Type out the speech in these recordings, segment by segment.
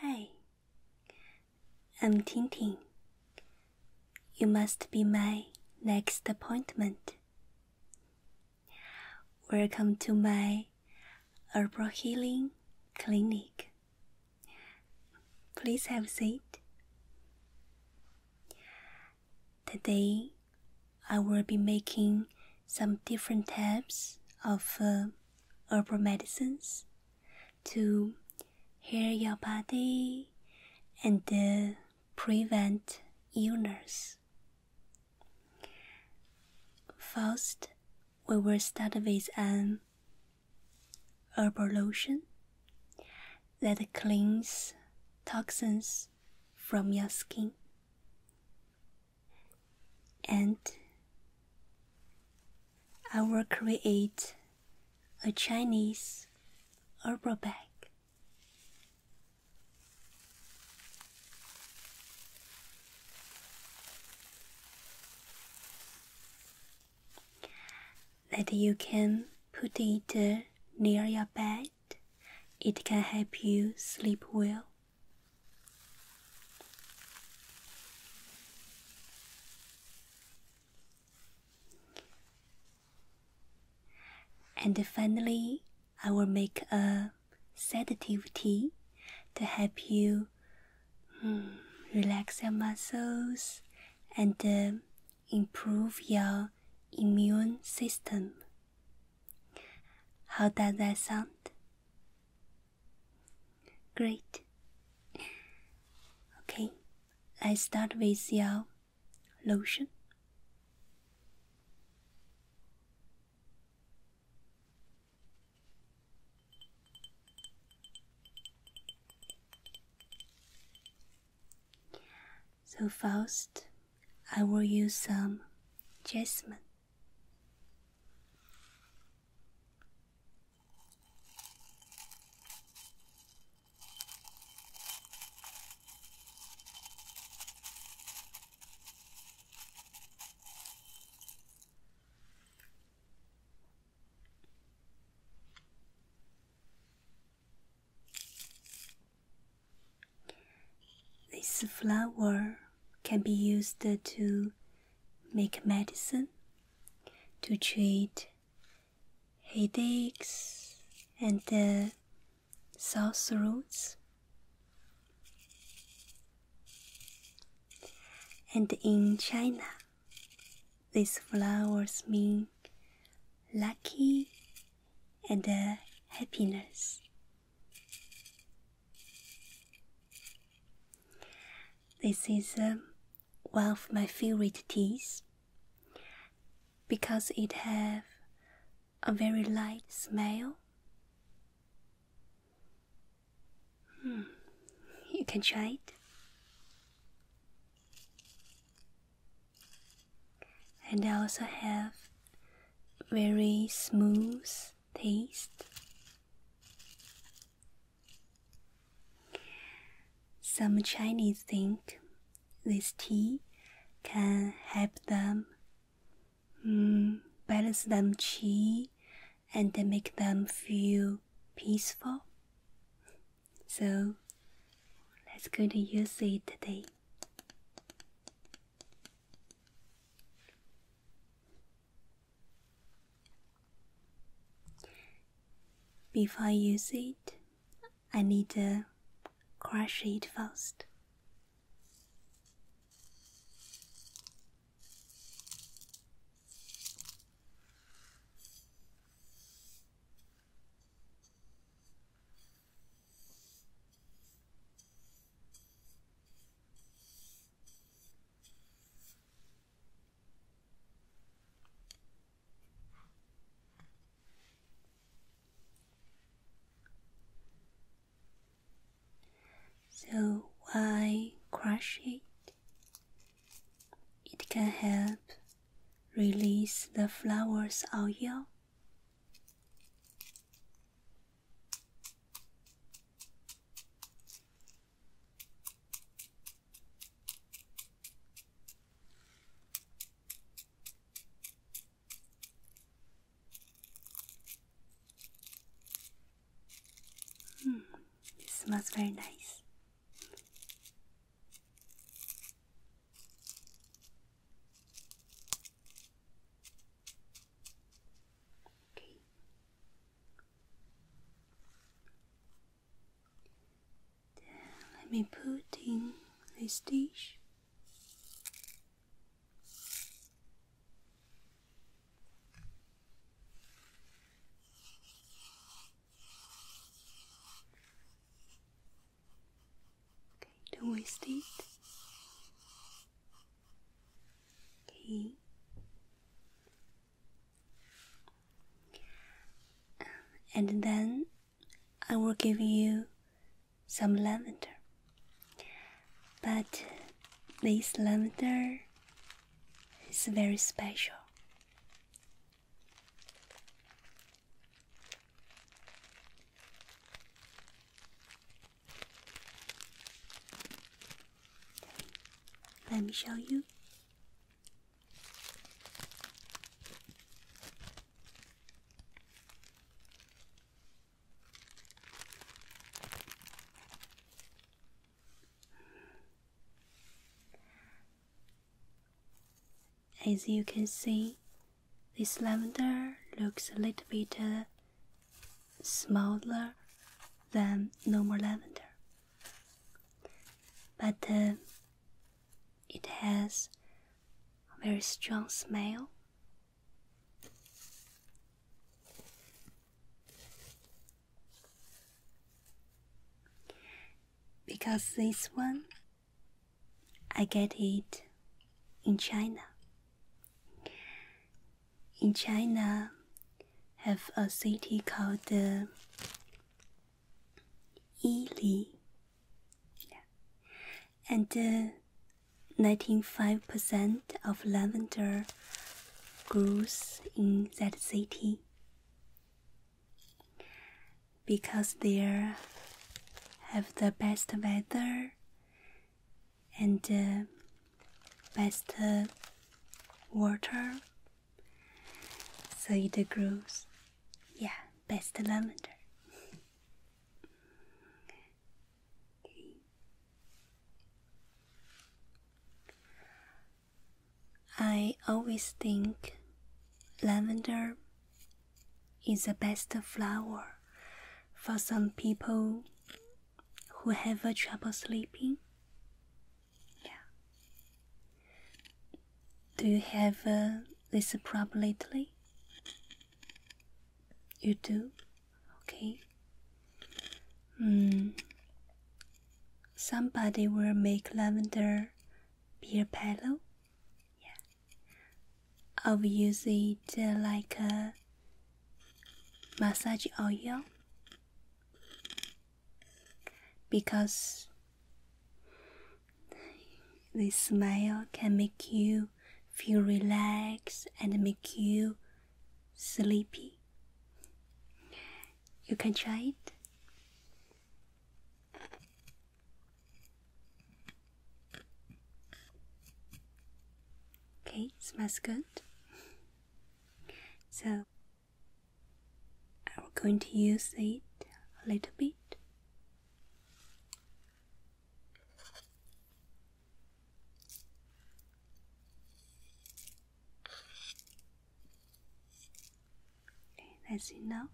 Hi, I'm Tintin. You must be my next appointment. Welcome to my herbal healing clinic. Please have a seat. Today, I will be making some different types of uh, herbal medicines to heal your body and prevent illness. First, we will start with an um, herbal lotion that cleans toxins from your skin and I will create a Chinese herbal bag. That you can put it uh, near your bed, it can help you sleep well. And finally, I will make a sedative tea to help you hmm, relax your muscles and uh, improve your immune system. How does that sound? Great. Okay, let's start with your lotion. So first, I will use some jasmine. This flower can be used to make medicine to treat headaches and uh, sore throats. And in China, these flowers mean lucky and happiness. This is um, one of my favorite teas because it have a very light smell. Hmm, you can try it. And I also have very smooth taste. Some Chinese think this tea can help them mm, balance them qi and make them feel peaceful. So let's go to use it today. Before I use it, I need to crush it first. So, why crush it? It can help release the flowers oil. Mm, it smells very nice. Okay let me put in this dish. Okay, don't waste it. Okay and then I will give you some lavender. But this lavender is very special. Let me show you. As you can see, this lavender looks a little bit uh, smaller than no more lavender, but uh, it has a very strong smell. Because this one I get it in China in China have a city called uh, Yili, and 95% of lavender grows in that city because there have the best weather and uh, best water so it grows yeah best lavender i always think lavender is the best flower for some people who have a trouble sleeping? Yeah. Do you have uh, this problem lately? You do? Okay. Hmm. Somebody will make lavender beer pillow. Yeah. I'll use it uh, like a massage oil because the smile can make you feel relaxed and make you sleepy. You can try it. Okay, smells good. So I'm going to use it a little bit. Okay, that's enough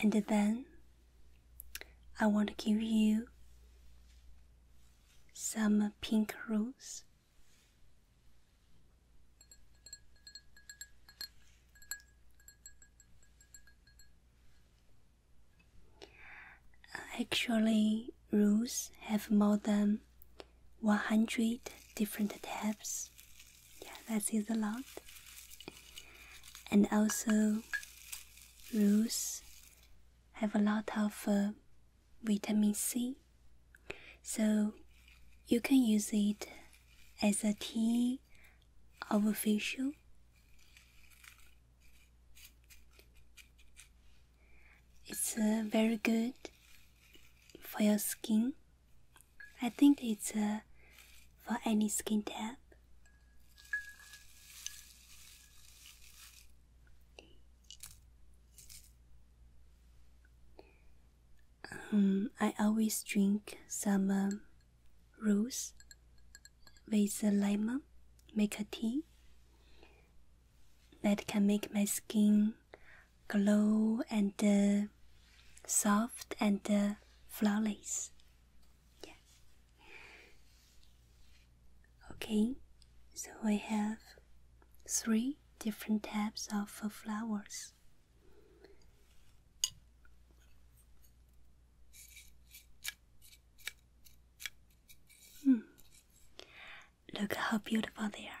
and then I want to give you some pink rose. Actually, rules have more than 100 different tabs. Yeah, that is a lot. And also, Rose have a lot of uh, vitamin C, so you can use it as a tea or a facial. It's uh, very good for your skin. I think it's uh, for any skin type. Um, I always drink some um, rose with lemon, make a tea that can make my skin glow and uh, soft and uh, flawless. Yeah. Okay, so I have three different types of flowers. Hmm. Look how beautiful they are.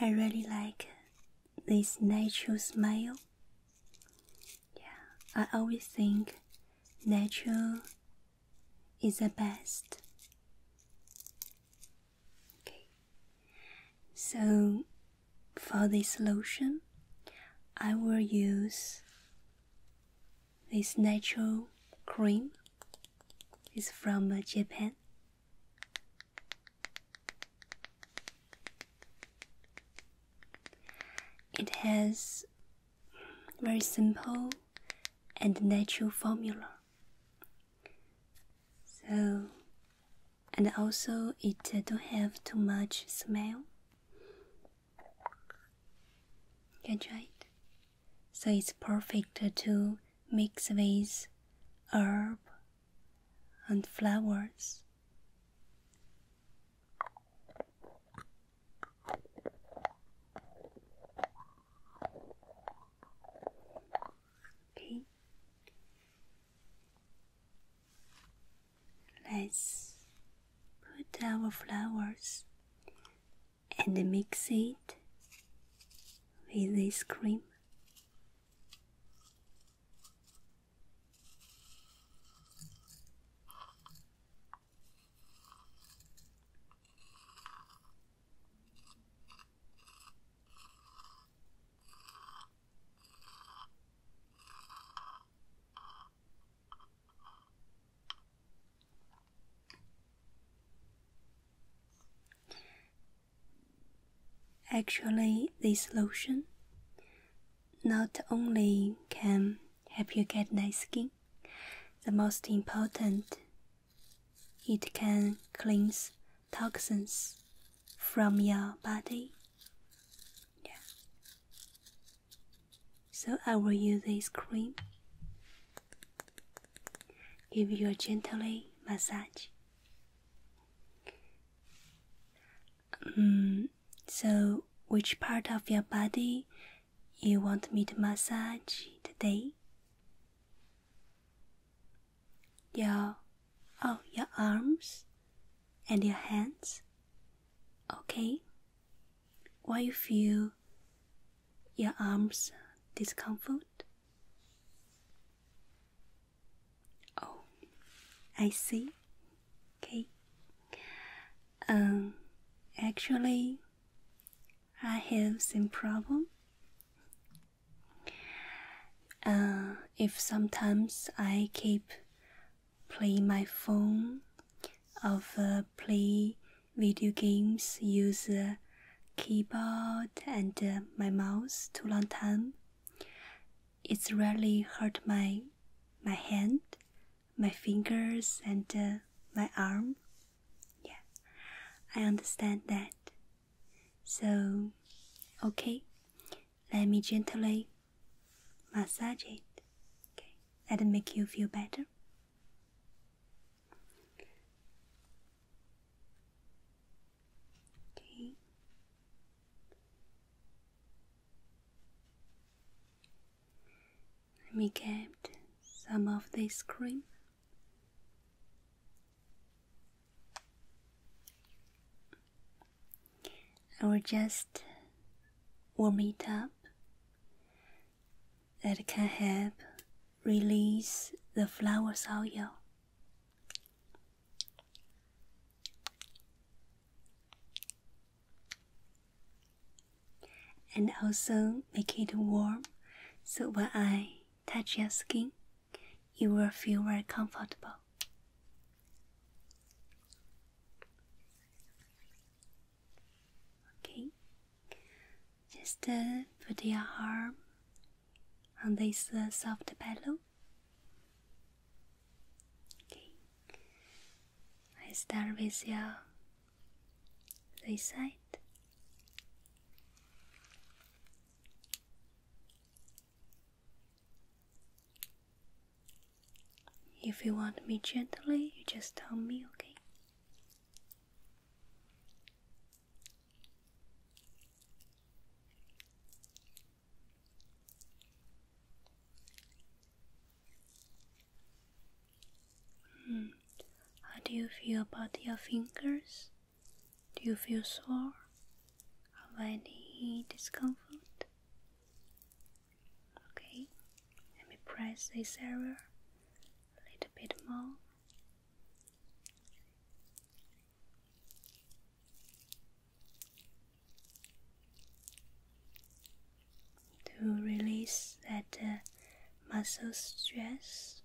I really like this natural smile yeah, I always think natural is the best. Okay, so for this lotion, I will use this natural cream. It's from uh, Japan. It has very simple and natural formula. So, and also it don't have too much smell. Can try it. So it's perfect to mix with herb and flowers. Okay. Let's put our flowers and mix it with this cream. Actually, this lotion not only can help you get nice skin, the most important, it can cleanse toxins from your body. Yeah. So I will use this cream. Give you a gently massage. Um, so, which part of your body you want me to massage today? Your oh, your arms and your hands. Okay. Why you feel your arms discomfort? Oh, I see. Okay. Um, actually, I have some problem. Uh, if sometimes I keep playing my phone, or uh, play video games, use uh, keyboard and uh, my mouse too long time, it's really hurt my my hand, my fingers, and uh, my arm. Yeah, I understand that. So, okay, let me gently massage it. Okay, that'll make you feel better. Okay. We get some of this cream. I will just warm it up. That can help release the flower's oil and also make it warm so when I touch your skin, you will feel very comfortable. Okay, just uh, put your arm on this uh, soft pillow Okay. I start with your this side. If you want me gently, you just tell me, okay? Hmm. How do you feel about your fingers? Do you feel sore? Have any discomfort? Okay, let me press this area a little bit more to release that uh, muscle stress.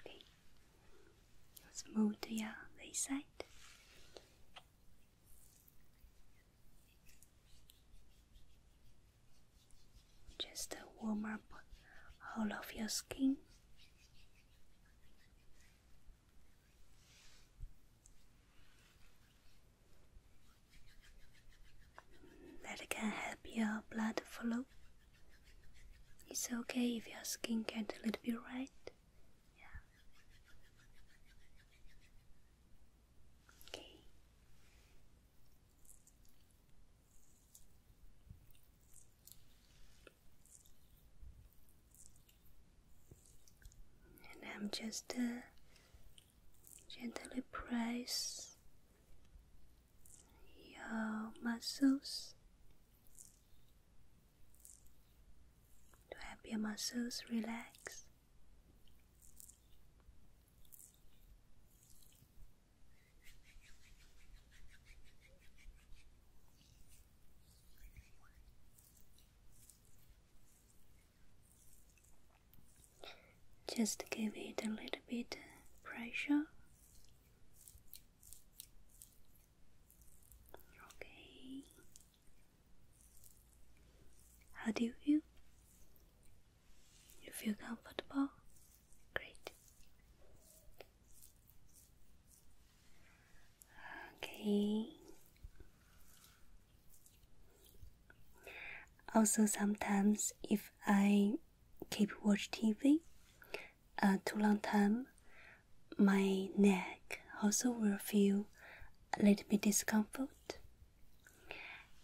Okay, let's move to your other side. Just to warm up all of your skin. That can help your blood flow. It's okay if your skin gets a little bit red. Yeah. Okay. And I'm just uh, gently press your muscles to help your muscles relax. Just give it a little bit pressure. Okay. How do you feel? You feel comfortable? Great. Okay. Also, sometimes if I keep watch TV uh, too long time, my neck also will feel a little bit discomfort.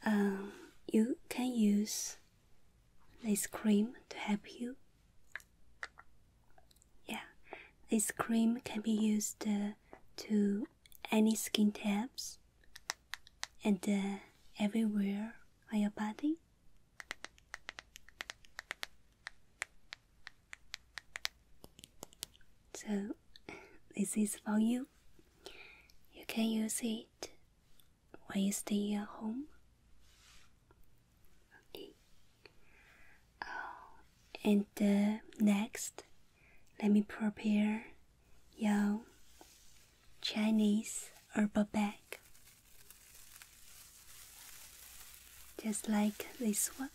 Um, you can use this cream to help you. Yeah, this cream can be used uh, to any skin types and uh, everywhere on your body. So, this is for you. You can use it why you stay at home? Okay. Oh, and uh, next, let me prepare your Chinese herbal bag, just like this one.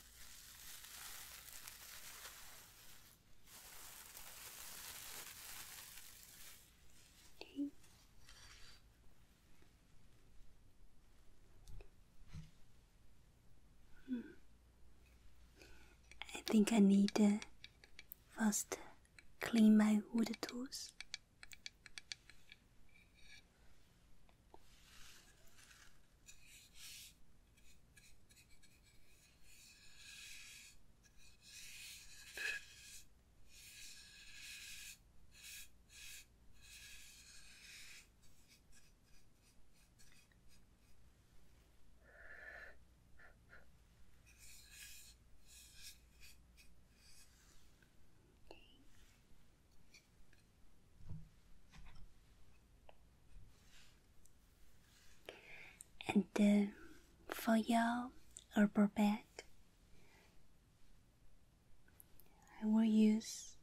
Hmm. I think I need to first clean my wood tools. And uh, for your herbal bath, I will use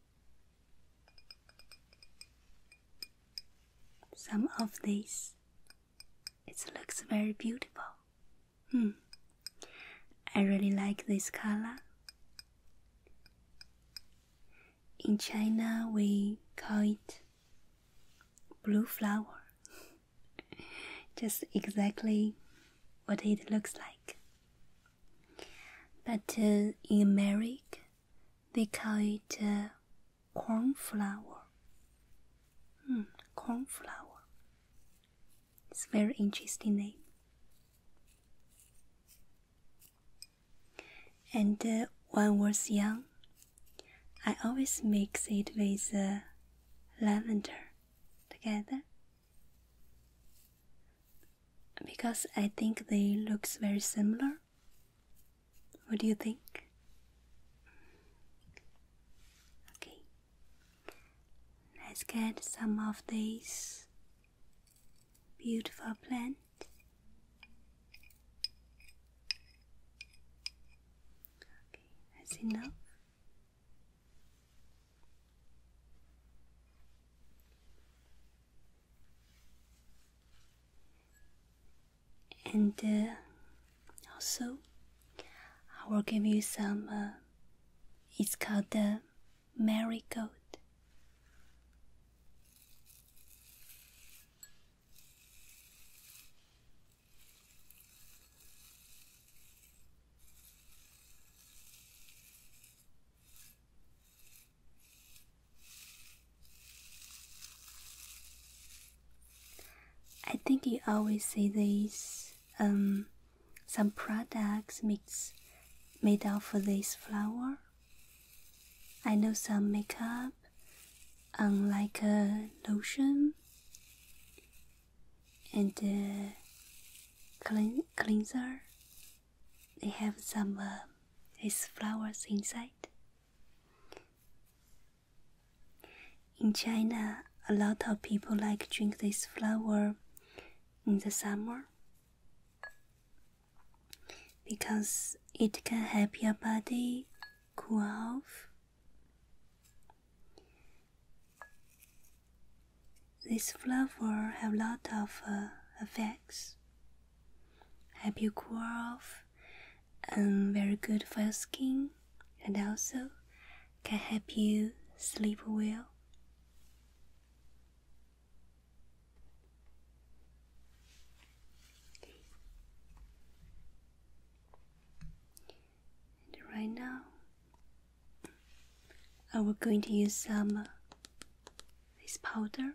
some of these. It looks very beautiful. Hmm. I really like this color. In China, we call it blue flower. just exactly what it looks like. But uh, in America, they call it uh, cornflower. Mm, cornflower. It's a very interesting name. And uh, when I was young, I always mix it with lavender together because I think they looks very similar. What do you think? Okay. Let's get some of these beautiful plants. Okay, that's enough. And uh, also, I will give you some. Uh, it's called the marigold. I think you always see these um, some products mix made out for this flower. I know some makeup, um, like a lotion, and uh, cleanser. They have some uh, flowers inside. In China, a lot of people like drink this flower in the summer because it can help your body cool off this flower have lot of uh, effects. Help you cool off, and um, very good for your skin, and also can help you sleep well. And right now, I am going to use some uh, this powder.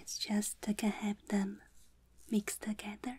It's just uh, to have them mixed together.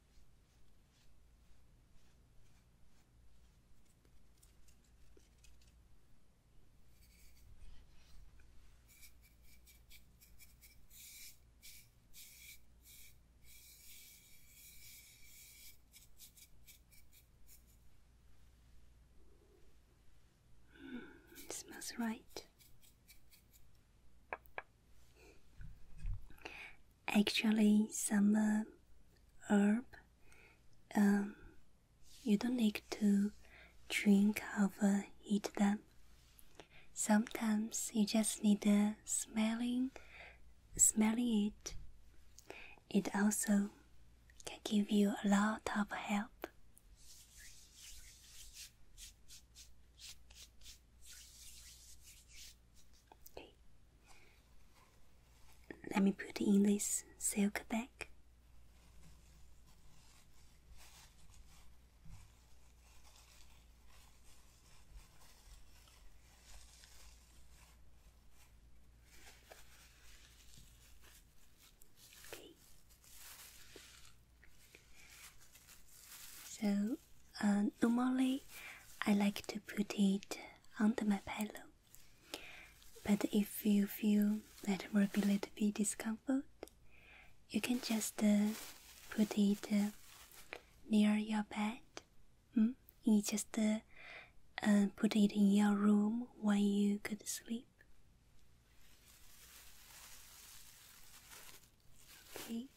Mm, it smells right. Actually, some herb um, you don't need to drink or uh, eat them. Sometimes you just need uh, smelling, smelling it. It also can give you a lot of help. Let me put in this silk bag. Okay. So normally I like to put it under my pillow. But if you feel that will be a discomfort, you can just uh, put it uh, near your bed. Mm? You just uh, put it in your room when you could sleep. Okay,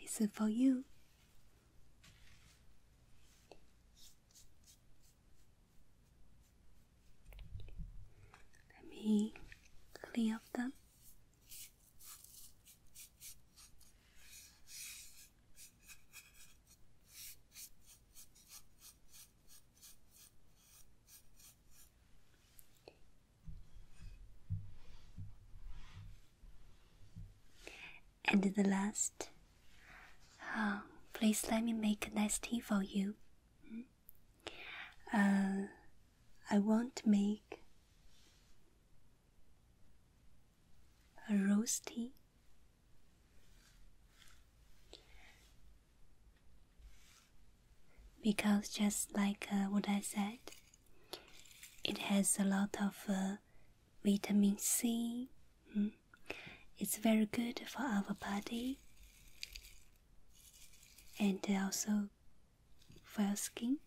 this for you. Let me clean up them. And the last, uh, please let me make a nice tea for you. Hmm? Uh, I want to make a rose tea. Because just like uh, what I said, it has a lot of uh, vitamin C. Hmm? It's very good for our body and also for our skin.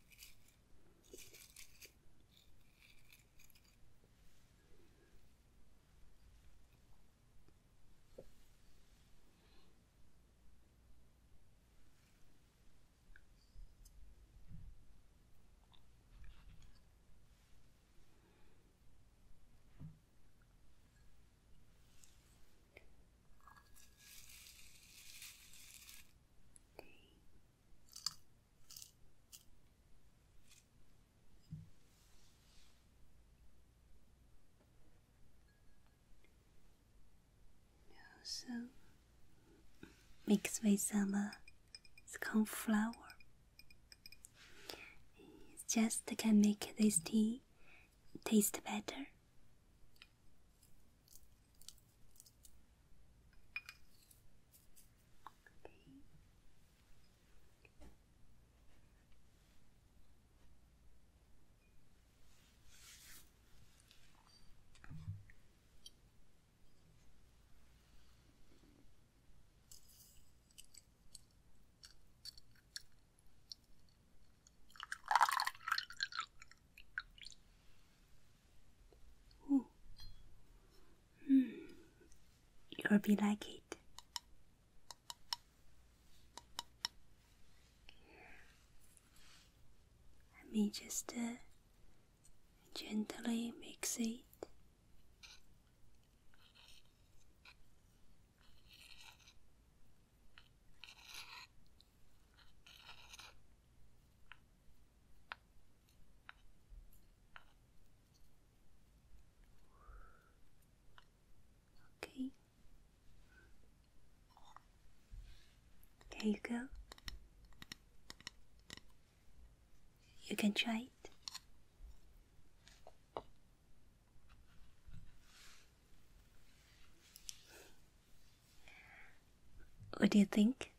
Okay. Also mixed with some uh, cornflour. just can make this tea taste better. Ooh. Mm. You'll be like it. Let me just uh, Gently mix it. Okay. There you go. You can try it. What do you think?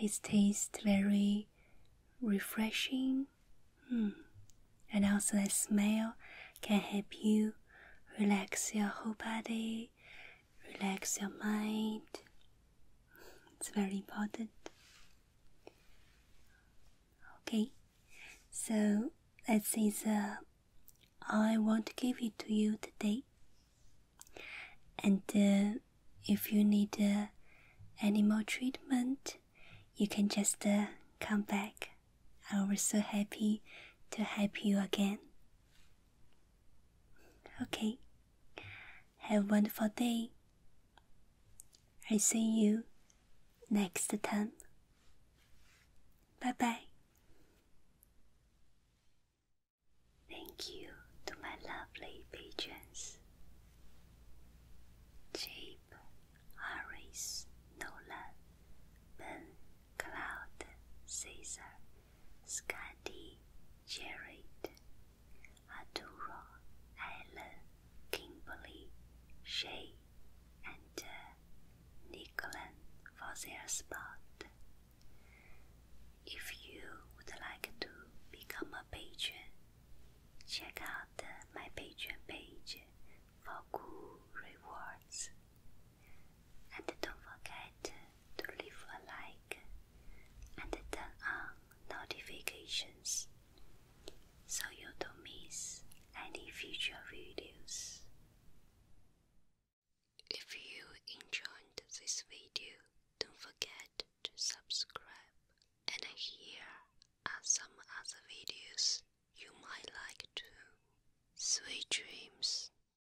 It tastes very refreshing, hmm. and also the smell can help you relax your whole body relax your mind. It's very important. Okay, so let's say all I want to give it to you today. And uh, if you need uh, any more treatment, you can just uh, come back. I was so happy to help you again. Okay. Have a wonderful day. I see you next time. Bye bye. Thank you to my lovely patrons Jape, Harris, Nolan, Ben, Cloud, Caesar. Scotty Jared, Arturo Allen, Kimberly Shay, and uh, for their spot. If you would like to become a patron, check out uh, my Patreon page for cool rewards. And don't forget to leave a like and turn on notifications so you don't miss any future videos. If you enjoyed this video, don't forget to subscribe. And here are some other videos you might like too. Sweet dreams.